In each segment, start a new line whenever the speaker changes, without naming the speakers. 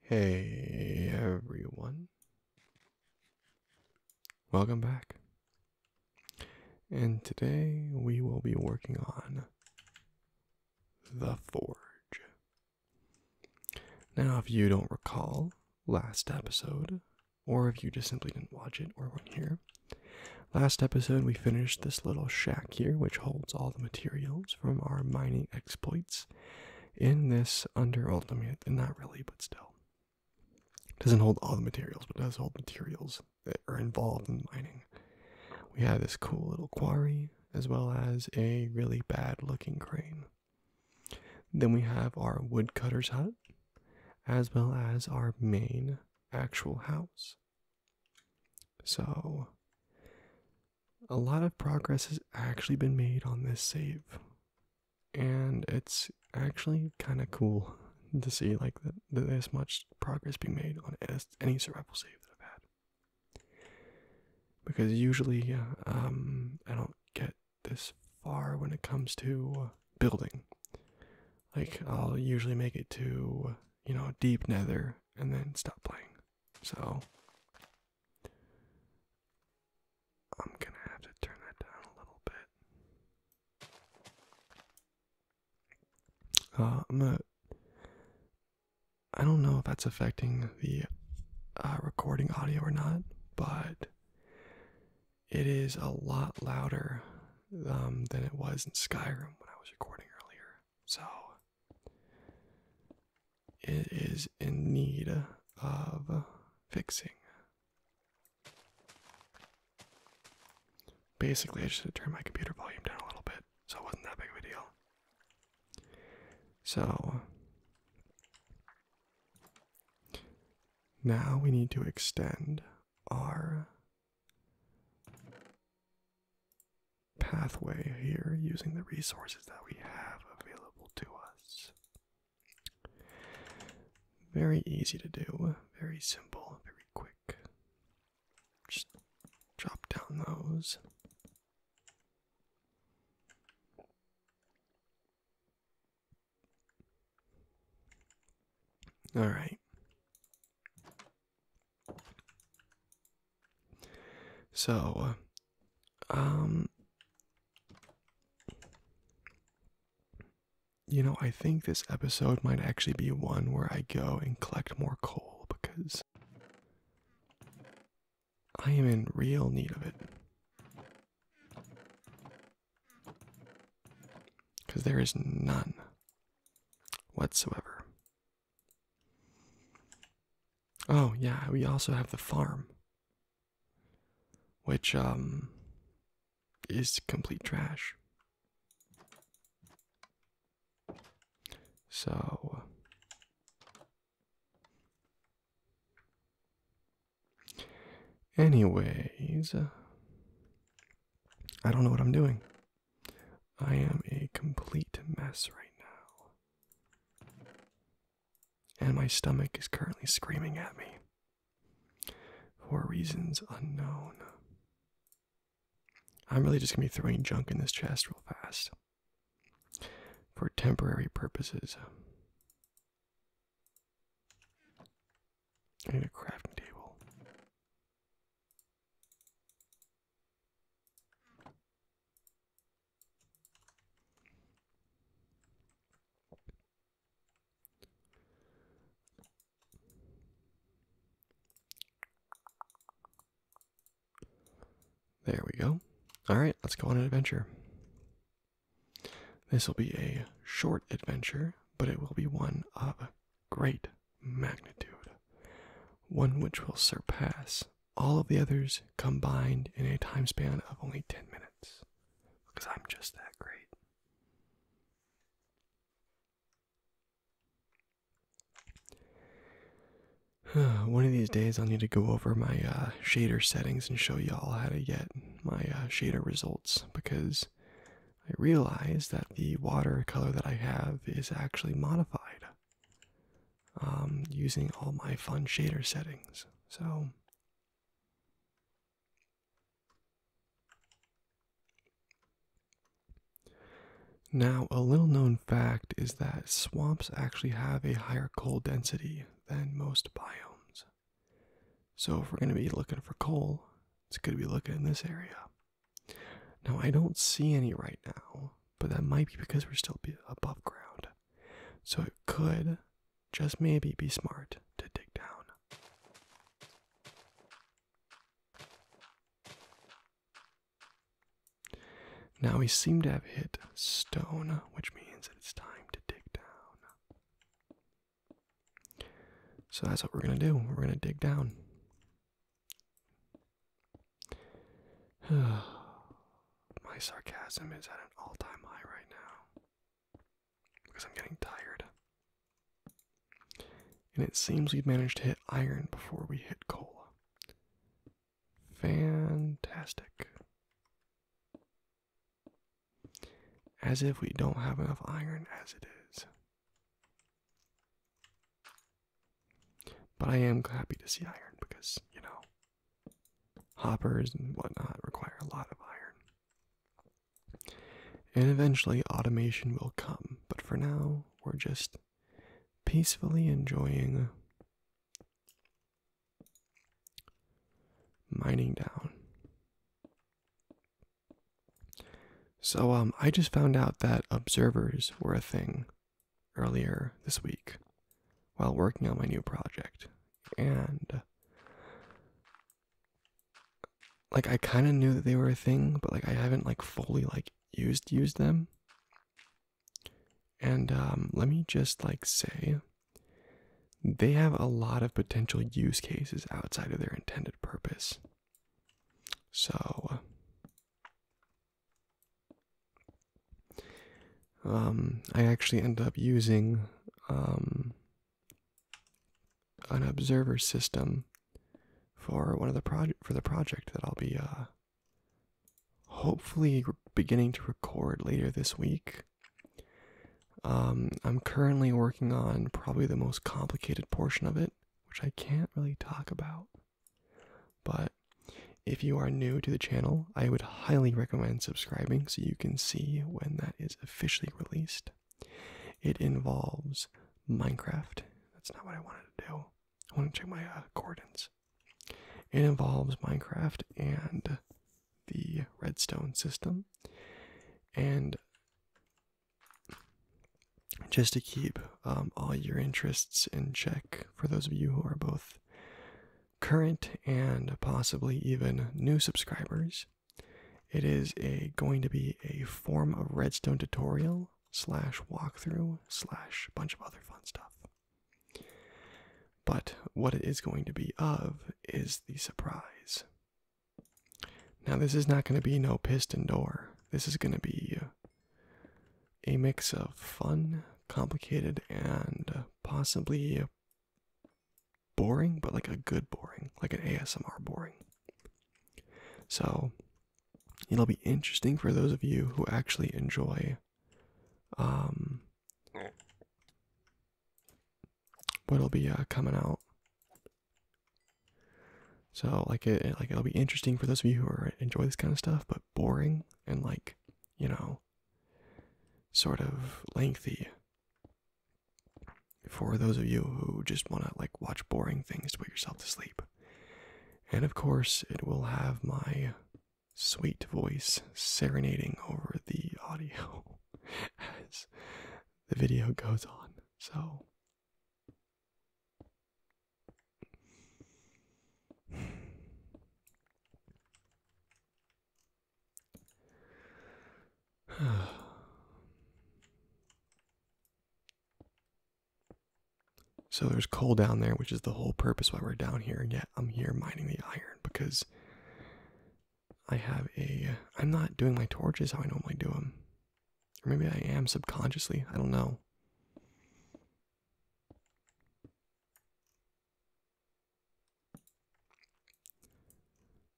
Hey everyone. Welcome back. And today we will be working on the Forge. Now, if you don't recall last episode, or if you just simply didn't watch it or weren't here, Last episode, we finished this little shack here, which holds all the materials from our mining exploits in this under ultimate, and not really, but still. doesn't hold all the materials, but does hold materials that are involved in mining. We have this cool little quarry, as well as a really bad looking crane. Then we have our woodcutter's hut, as well as our main actual house. So, a lot of progress has actually been made on this save, and it's actually kind of cool to see like that there's much progress being made on any survival save that I've had. Because usually, um, I don't get this far when it comes to building. Like, I'll usually make it to, you know, deep nether and then stop playing. So, I'm gonna have to turn that down a little bit. Uh, I am going do not know if that's affecting the uh, recording audio or not, but it is a lot louder um, than it was in Skyrim when I was recording earlier. So it is in need of fixing. Basically, I just turned my computer volume down a little bit, so it wasn't that big of a deal. So now we need to extend our pathway here using the resources that we have available to us. Very easy to do, very simple, very quick. Just drop down those. All right. So, um, you know, I think this episode might actually be one where I go and collect more coal because I am in real need of it. Because there is none whatsoever. Oh, yeah, we also have the farm, which um, is complete trash. So. Anyways, I don't know what I'm doing. I am a complete mess right now. And my stomach is currently screaming at me for reasons unknown. I'm really just going to be throwing junk in this chest real fast for temporary purposes need a crafting table. There we go. All right, let's go on an adventure. This will be a short adventure but it will be one of great magnitude, one which will surpass all of the others combined in a time span of only 10 minutes. Because I'm just that great. One of these days, I'll need to go over my uh, shader settings and show y'all how to get my uh, shader results because I realize that the watercolor that I have is actually modified um, using all my fun shader settings. So now a little known fact is that swamps actually have a higher coal density than most biomes. So if we're going to be looking for coal, it's going to be looking in this area. Now I don't see any right now, but that might be because we're still above ground. So it could just maybe be smart to dig down. Now we seem to have hit stone, which means that it's time to dig down. So that's what we're going to do. We're going to dig down. My sarcasm is at an all time high right now because I'm getting tired. And it seems we've managed to hit iron before we hit coal. Fantastic. As if we don't have enough iron as it is. But I am happy to see iron because, you know, hoppers and whatnot require a lot of iron. And eventually automation will come, but for now, we're just peacefully enjoying mining down. So um I just found out that observers were a thing earlier this week while working on my new project and like I kind of knew that they were a thing but like I haven't like fully like used used them. And um, let me just like say they have a lot of potential use cases outside of their intended purpose. So, um, I actually end up using um, an observer system for one of the project for the project that I'll be uh, hopefully beginning to record later this week um, I'm currently working on probably the most complicated portion of it, which I can't really talk about. But if you are new to the channel, I would highly recommend subscribing so you can see when that is officially released. It involves Minecraft. That's not what I wanted to do. I want to check my uh, coordinates. It involves Minecraft and the redstone system and just to keep um, all your interests in check for those of you who are both current and possibly even new subscribers it is going to be a form of redstone tutorial slash walkthrough slash bunch of other fun stuff but what it is going to be of is the surprise now, this is not going to be no piston door. This is going to be a mix of fun, complicated, and possibly boring, but like a good boring, like an ASMR boring. So, it'll be interesting for those of you who actually enjoy um, what'll be uh, coming out. So like it, like it'll be interesting for those of you who enjoy this kind of stuff, but boring and like you know, sort of lengthy. For those of you who just want to like watch boring things to put yourself to sleep, and of course it will have my sweet voice serenading over the audio as the video goes on. So So there's coal down there, which is the whole purpose why we're down here, and yet I'm here mining the iron because I have a. I'm not doing my torches how I normally do them. Or maybe I am subconsciously. I don't know.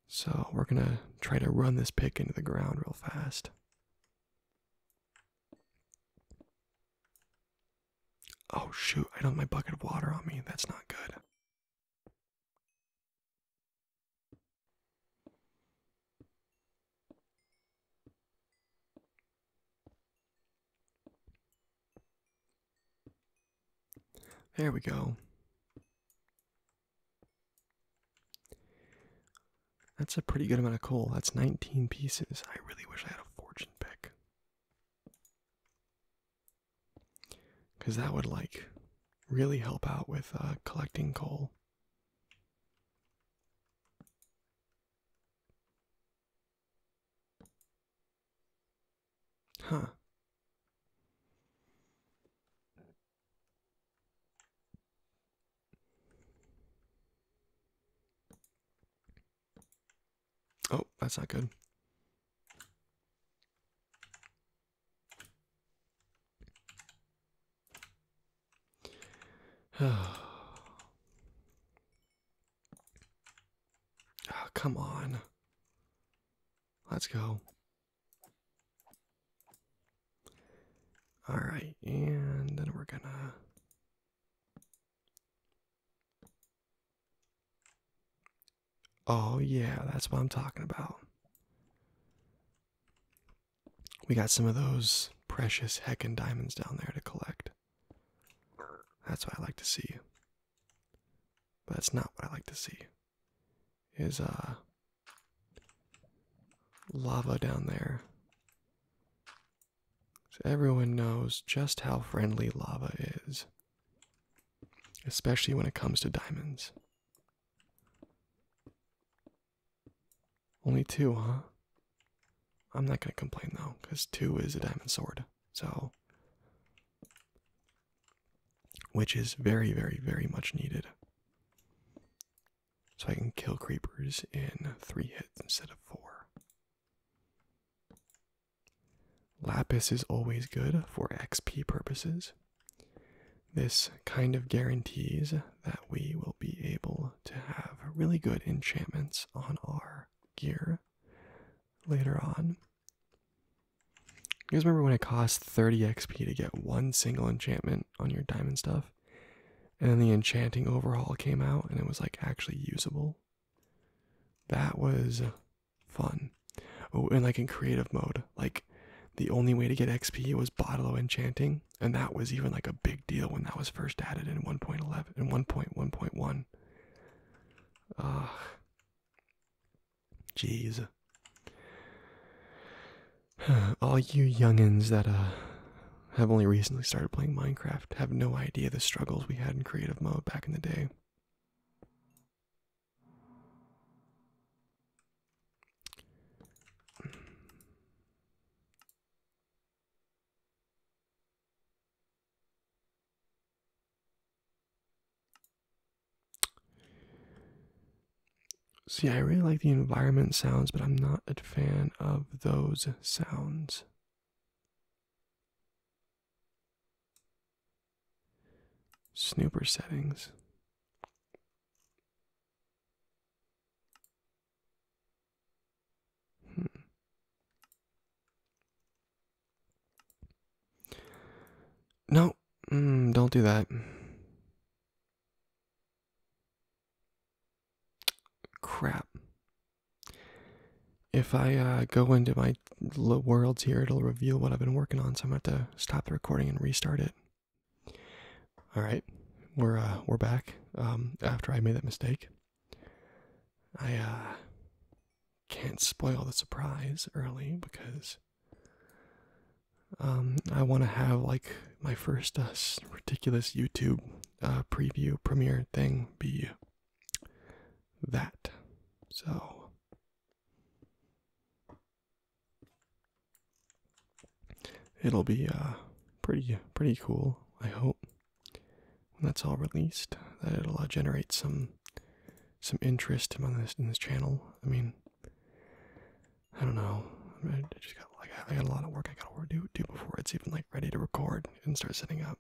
So we're going to try to run this pick into the ground real fast. Oh shoot, I don't have my bucket of water on me. That's not good. There we go. That's a pretty good amount of coal. That's 19 pieces. I really wish I had a fortune pick. Because that would like really help out with uh, collecting coal. Huh. Oh, that's not good oh, come on. Let's go. All right, and then we're gonna Oh, yeah, that's what I'm talking about. We got some of those precious heckin' diamonds down there to collect. That's what I like to see. But that's not what I like to see. Is uh lava down there. So everyone knows just how friendly lava is especially when it comes to diamonds. Only two, huh? I'm not going to complain though, because two is a diamond sword. So. Which is very, very, very much needed. So I can kill creepers in three hits instead of four. Lapis is always good for XP purposes. This kind of guarantees that we will be able to have really good enchantments on our gear later on. You guys remember when it cost 30 XP to get one single enchantment on your diamond stuff? And then the enchanting overhaul came out and it was like actually usable. That was fun. Oh, and like in creative mode, like the only way to get XP was Bottle of enchanting, and that was even like a big deal when that was first added in 1.11 and 1.1.1. Ah, jeez. All you youngins that uh have only recently started playing Minecraft have no idea the struggles we had in creative mode back in the day. See, I really like the environment sounds, but I'm not a fan of those sounds. Snooper settings. Hmm. No, hmm, don't do that. Crap if I uh, go into my worlds here, it'll reveal what I've been working on, so I'm going to have to stop the recording and restart it. All right, we're uh, we're back. Um, after I made that mistake, I uh, can't spoil the surprise early because um, I want to have like my first ridiculous YouTube preview premiere thing be that. So It'll be uh pretty pretty cool. I hope when that's all released that it'll uh, generate some some interest on this in this channel. I mean, I don't know. I, I just got like I got a lot of work I gotta do do before it's even like ready to record and start setting up.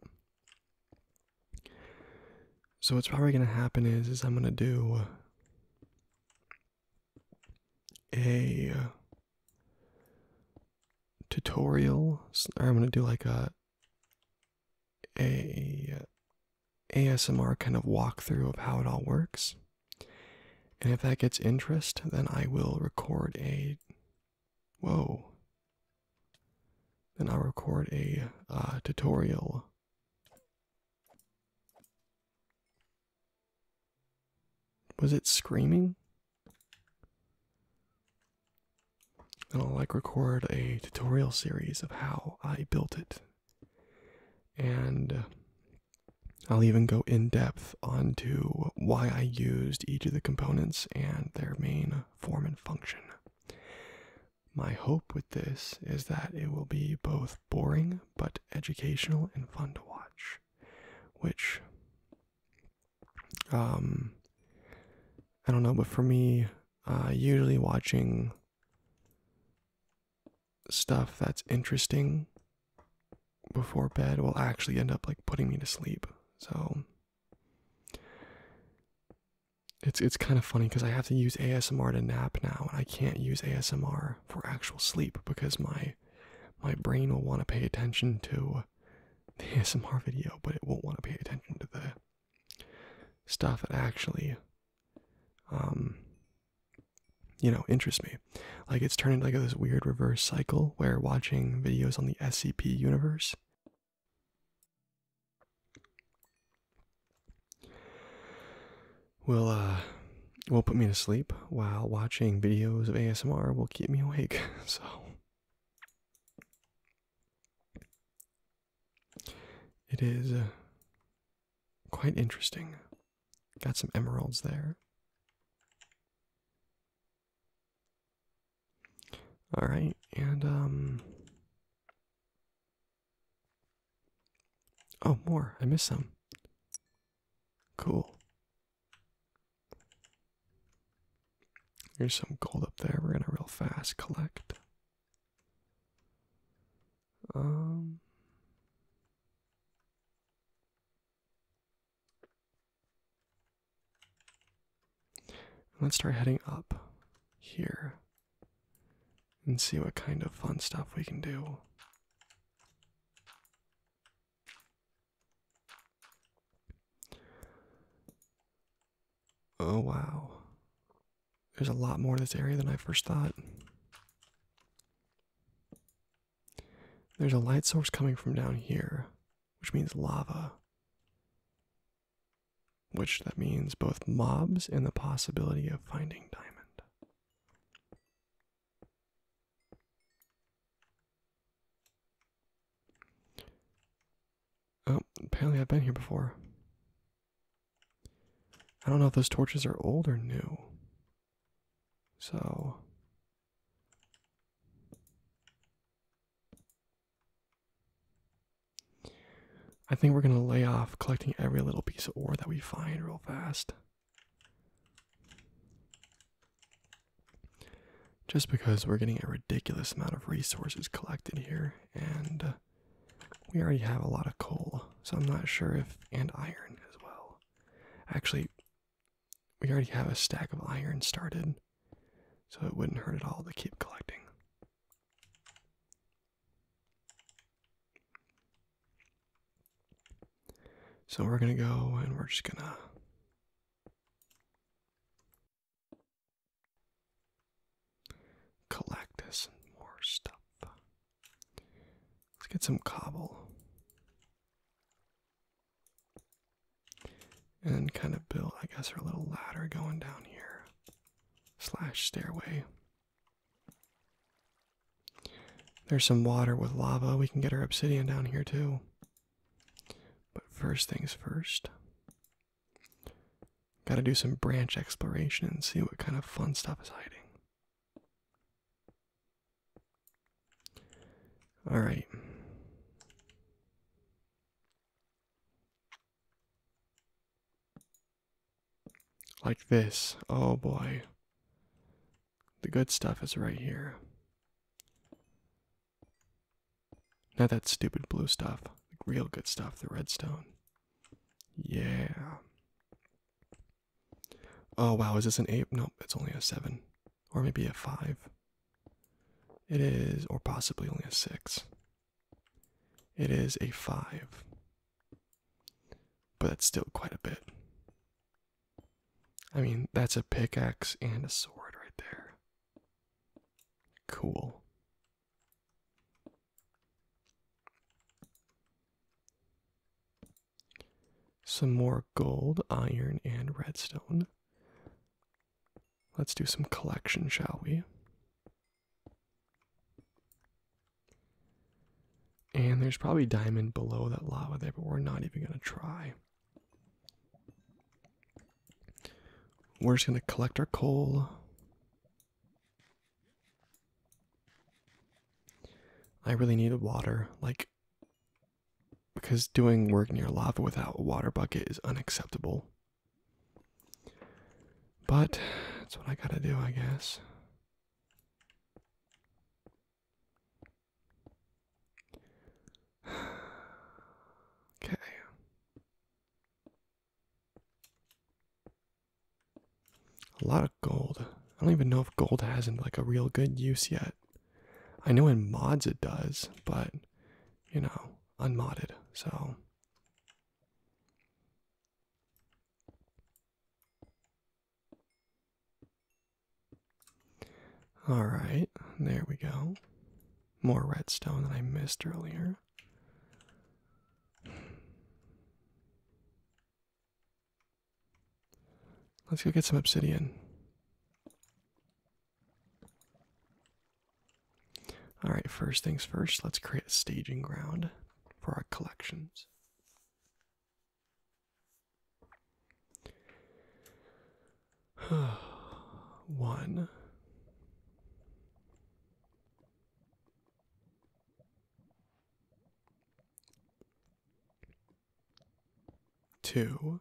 So what's probably gonna happen is is I'm gonna do a uh, tutorial or I'm gonna do like a a uh, ASMR kind of walkthrough of how it all works. And if that gets interest, then I will record a whoa. Then I'll record a uh, tutorial. Was it screaming? And I'll like record a tutorial series of how I built it. And I'll even go in depth onto why I used each of the components and their main form and function. My hope with this is that it will be both boring but educational and fun to watch, which um I don't know, but for me, uh, usually watching stuff that's interesting before bed will actually end up like putting me to sleep. So it's it's kind of funny because I have to use ASMR to nap now, and I can't use ASMR for actual sleep because my my brain will want to pay attention to the ASMR video, but it won't want to pay attention to the stuff that actually, um, you know, interests me. Like it's turning into like this weird reverse cycle where watching videos on the SCP universe Will uh will put me to sleep while watching videos of ASMR will keep me awake. So it is uh, quite interesting. Got some emeralds there. All right, and um, oh, more. I missed some. Cool. There's some gold up there. We're gonna real fast collect. Um. Let's start heading up here and see what kind of fun stuff we can do. Oh, wow. There's a lot more to this area than I first thought. There's a light source coming from down here, which means lava which that means both mobs and the possibility of finding diamond. Oh, apparently I've been here before. I don't know if those torches are old or new. So I think we're gonna lay off collecting every little piece of ore that we find real fast. Just because we're getting a ridiculous amount of resources collected here, and uh, we already have a lot of coal, so I'm not sure if, and iron as well. Actually, we already have a stack of iron started, so it wouldn't hurt at all to keep collecting. So we're going to go and we're just going to collect this and more stuff. Let's get some cobble and kind of build, I guess, our little ladder going down here, slash stairway. There's some water with lava. We can get our obsidian down here too. But first things first, gotta do some branch exploration and see what kind of fun stuff is hiding. All right. Like this. Oh boy. The good stuff is right here. Not that stupid blue stuff. The real good stuff, the redstone. Yeah. Oh wow, is this an 8? Nope, it's only a 7. Or maybe a 5. It is, or possibly only a 6. It is a 5. But that's still quite a bit. I mean, that's a pickaxe and a sword right there. Cool. Some more gold, iron, and redstone. Let's do some collection, shall we? And there's probably diamond below that lava there, but we're not even going to try. We're just going to collect our coal. I really need needed water, like, because doing work near lava without a water bucket is unacceptable. But that's what I gotta do, I guess. okay. A lot of gold. I don't even know if gold has like a real good use yet. I know in mods it does, but you know, unmodded, so all right, there we go. More redstone than I missed earlier. Let's go get some obsidian. All right, first things first, let's create a staging ground for our collections. One. Two,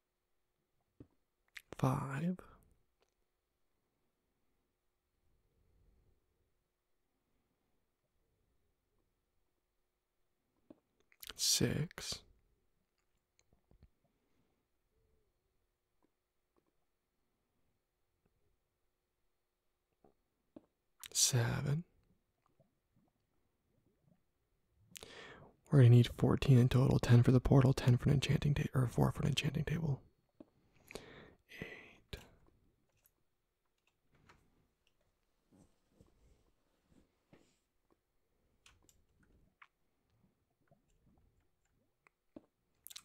five, six, seven. We're going to need 14 in total 10 for the portal, 10 for an enchanting table, or 4 for an enchanting table. 8.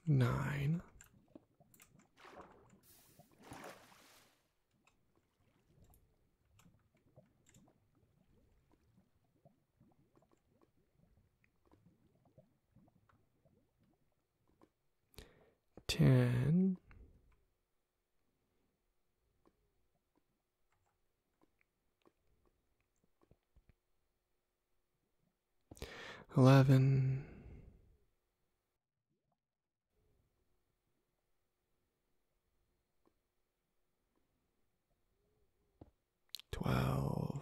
Nine. Ten. 12 twelve.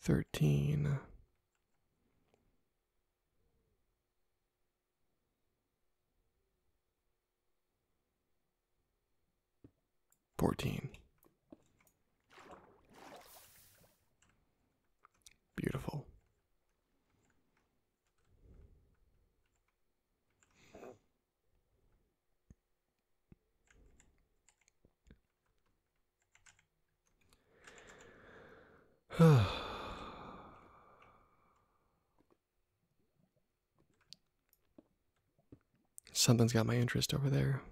Thirteen, fourteen, Beautiful. Something's got my interest over there.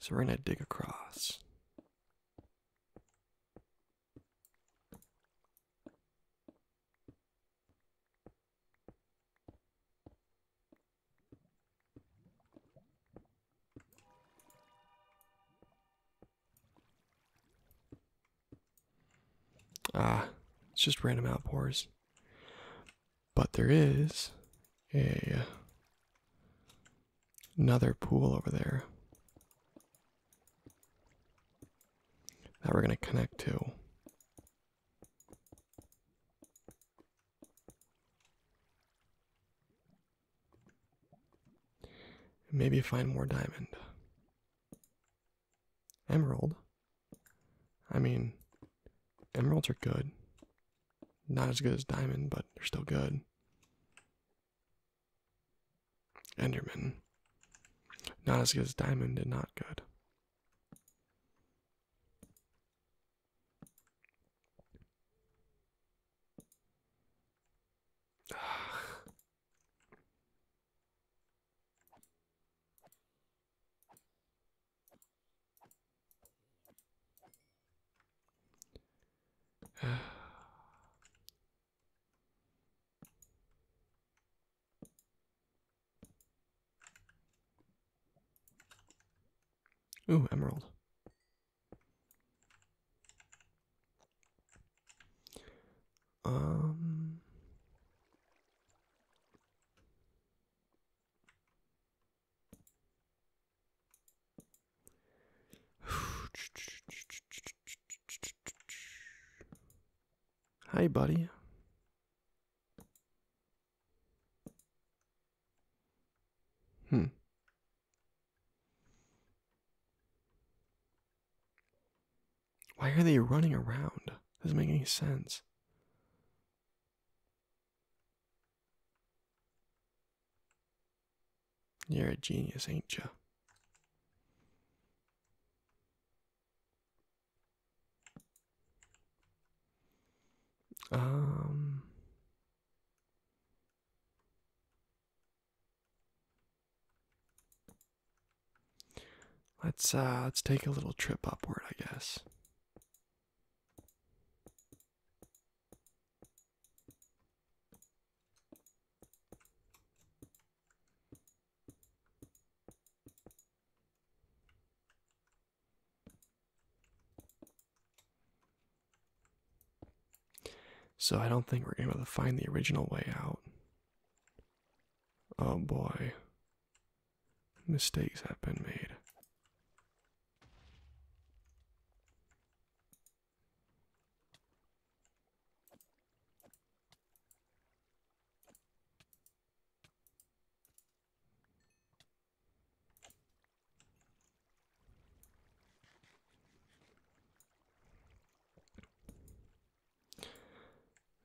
So we're going to dig across. Ah, it's just random outpours. But there is a another pool over there that we're going to connect to. Maybe find more diamond. Emerald. I mean, emeralds are good. Not as good as diamond, but they're still good. Enderman. Not as good as diamond and not good. Ooh, emerald. Um. Hi, buddy. Hmm. Why are they running around? Doesn't make any sense. You're a genius, ain't you? Um Let's uh let's take a little trip upward, I guess. So I don't think we're gonna be able to find the original way out. Oh boy. Mistakes have been made.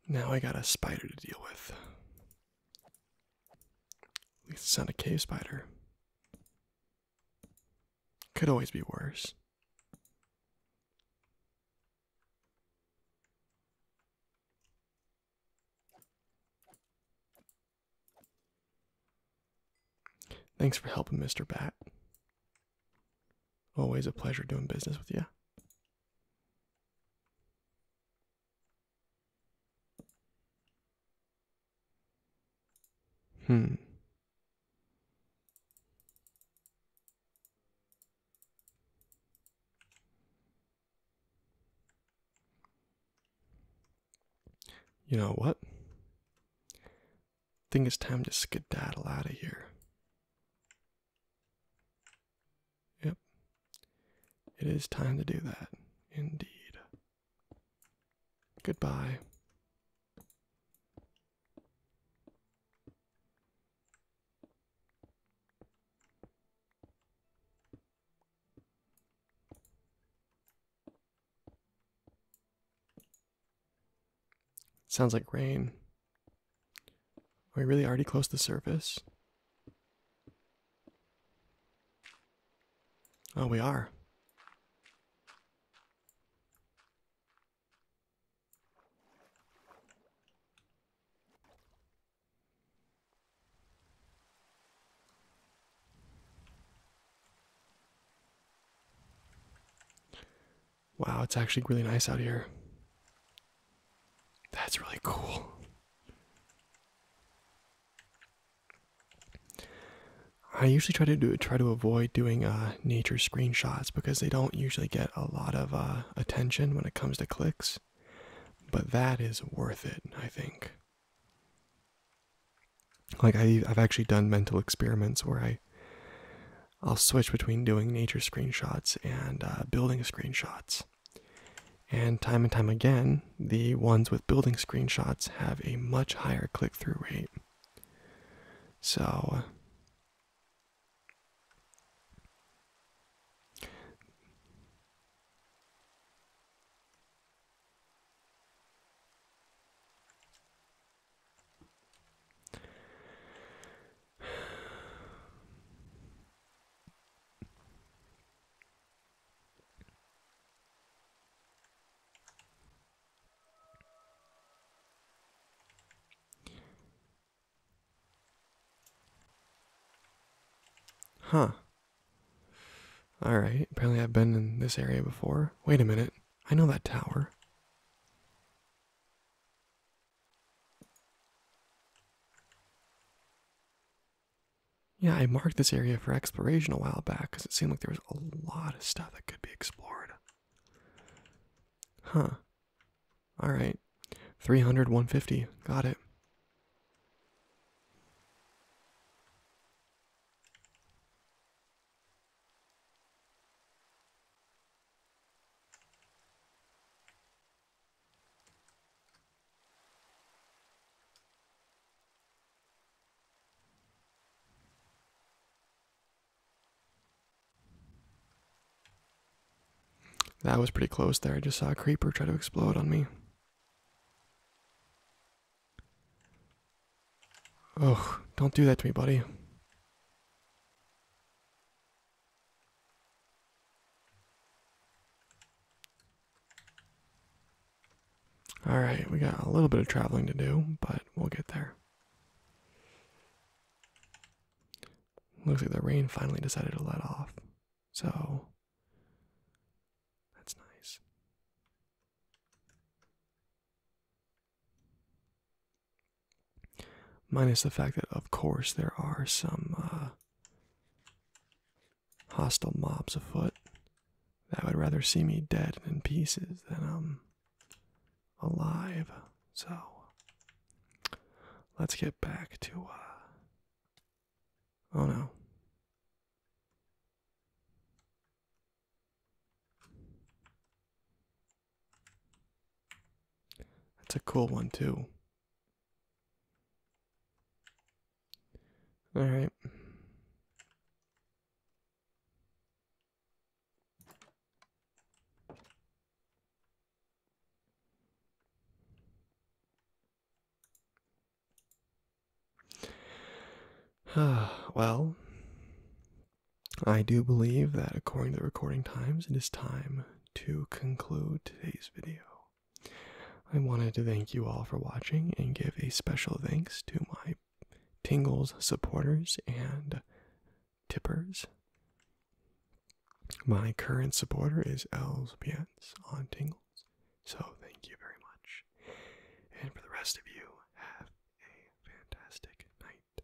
Now I got a spider to deal with. At least it's not a cave spider. Could always be worse. Thanks for helping, Mr. Bat. Always a pleasure doing business with you. Hmm. You know what? I think it's time to skedaddle out of here. Yep. It is time to do that. Indeed. Goodbye. Sounds like rain. Are we really already close to the surface? Oh, we are. Wow, it's actually really nice out here. That's really cool. I usually try to do try to avoid doing uh, nature screenshots because they don't usually get a lot of uh, attention when it comes to clicks, but that is worth it, I think. Like I've actually done mental experiments where I I'll switch between doing nature screenshots and uh, building screenshots. And time and time again, the ones with building screenshots have a much higher click through rate. So, Huh. Alright, apparently I've been in this area before. Wait a minute, I know that tower. Yeah, I marked this area for exploration a while back because it seemed like there was a lot of stuff that could be explored. Huh. Alright. 300, Got it. That was pretty close there. I just saw a creeper try to explode on me. Oh, don't do that to me, buddy. All right, we got a little bit of traveling to do, but we'll get there. Looks like the rain finally decided to let off, so that's nice. Minus the fact that, of course, there are some uh, hostile mobs afoot that would rather see me dead and in pieces than um alive. So let's get back to. Uh, oh no. That's a cool one, too. All right. well, I do believe that according to the recording times, it is time to conclude today's video. I wanted to thank you all for watching and give a special thanks to my Tingles supporters and tippers. My current supporter is Els on Tingles, so thank you very much. And for the rest of you, have a fantastic night.